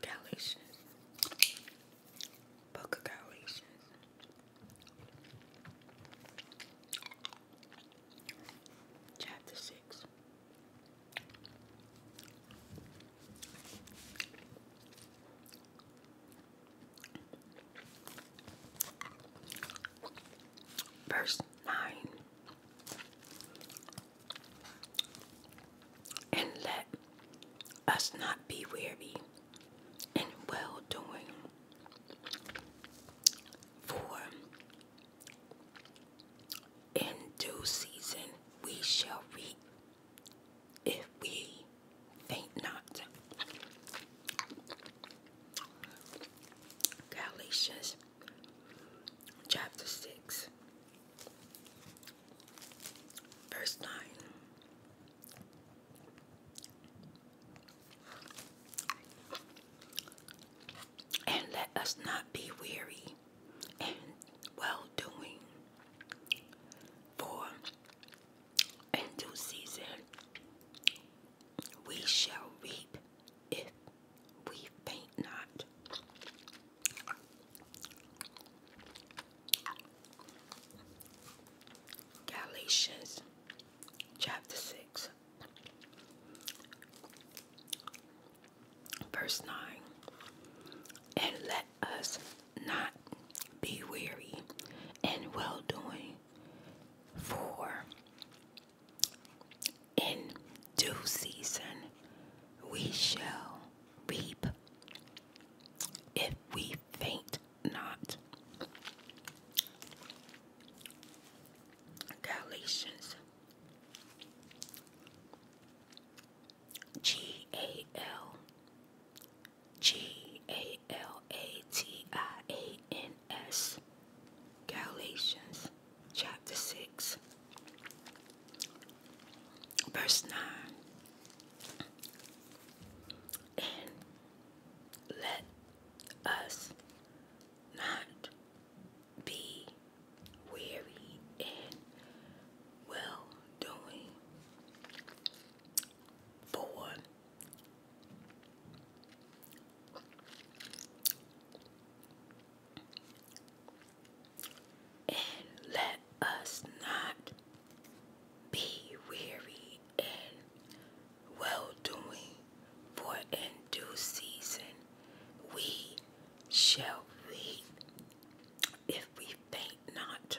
Galicious. Book of Chapter 6 Verse 9 And let us not be weary and well doing, for in due season we shall reap if we faint not. Galatians chapter 6, verse 9. And let us not be weary in well doing, for in due season we shall reap if we faint not. Galatians chapter 6, verse 9. And let us not be weary in well doing, for in due season we shall reap if we faint not. Galatians G A L G A L A T I A N S Galatians chapter 6 verse 9 and let us not be weary in well doing, for and let us not be weary in well doing, for in due season we shall reap if we faint not.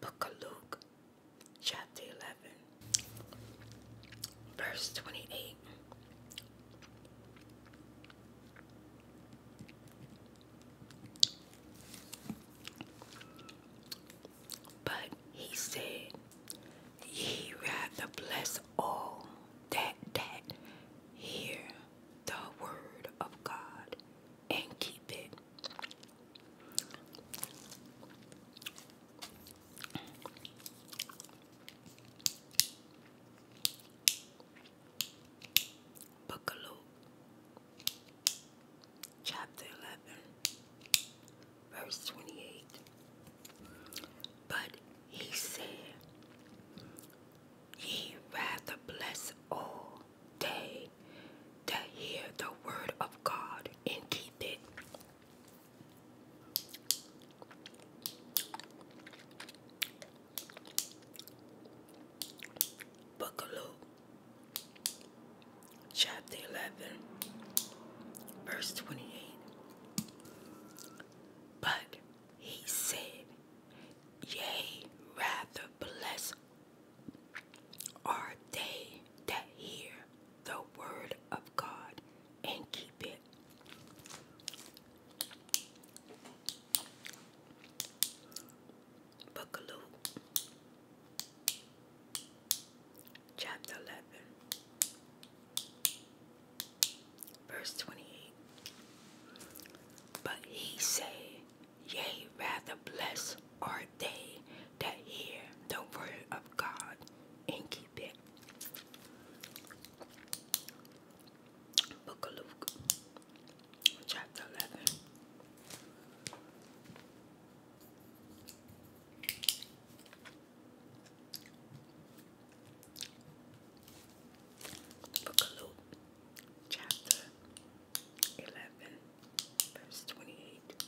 Book of Luke, chapter 11. Verse 28. But he said, Ye rather bless all that that hear the word of God and keep it. Book of Luke, chapter 11, verse 28. But he said, Ye rather bless all day that hear the word of God and keep it. Book chapter 11, verse 28. But he said, Yea, rather bless are they that hear the word of God and keep Book of Luke, chapter 11, verse 28. But he said, Yea, rather blessed are they that hear the word of God and keep keep it. Book of Luke, chapter 11. Book of Luke, chapter 11, verse 28.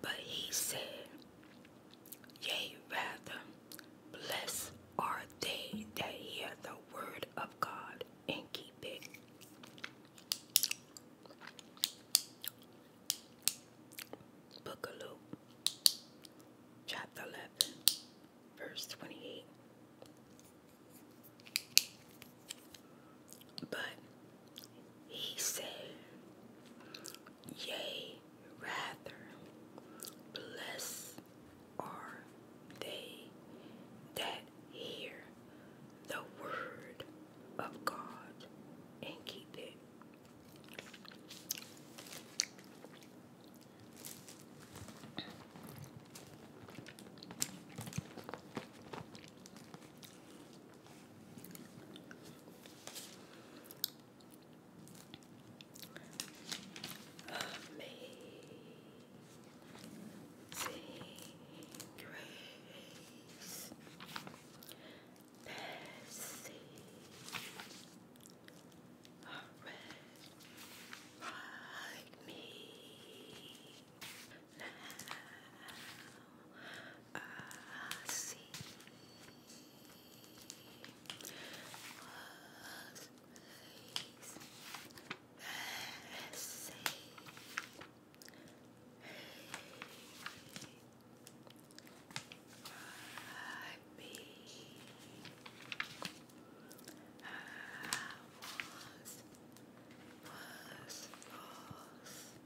But he said, Yea, rather, blessed are they that hear the word of God and keep it. Book of Luke, chapter 11, verse 28. But he said, Yea, rather, blessed are they that hear the word of God and keep it. Amazing grace, mercy, Arrest, me. Now I see was place that say I I was lost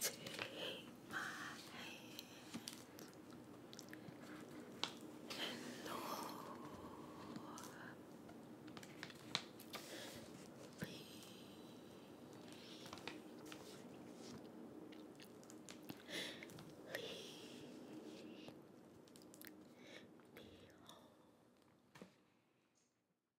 Take my hand and Lord, please lead me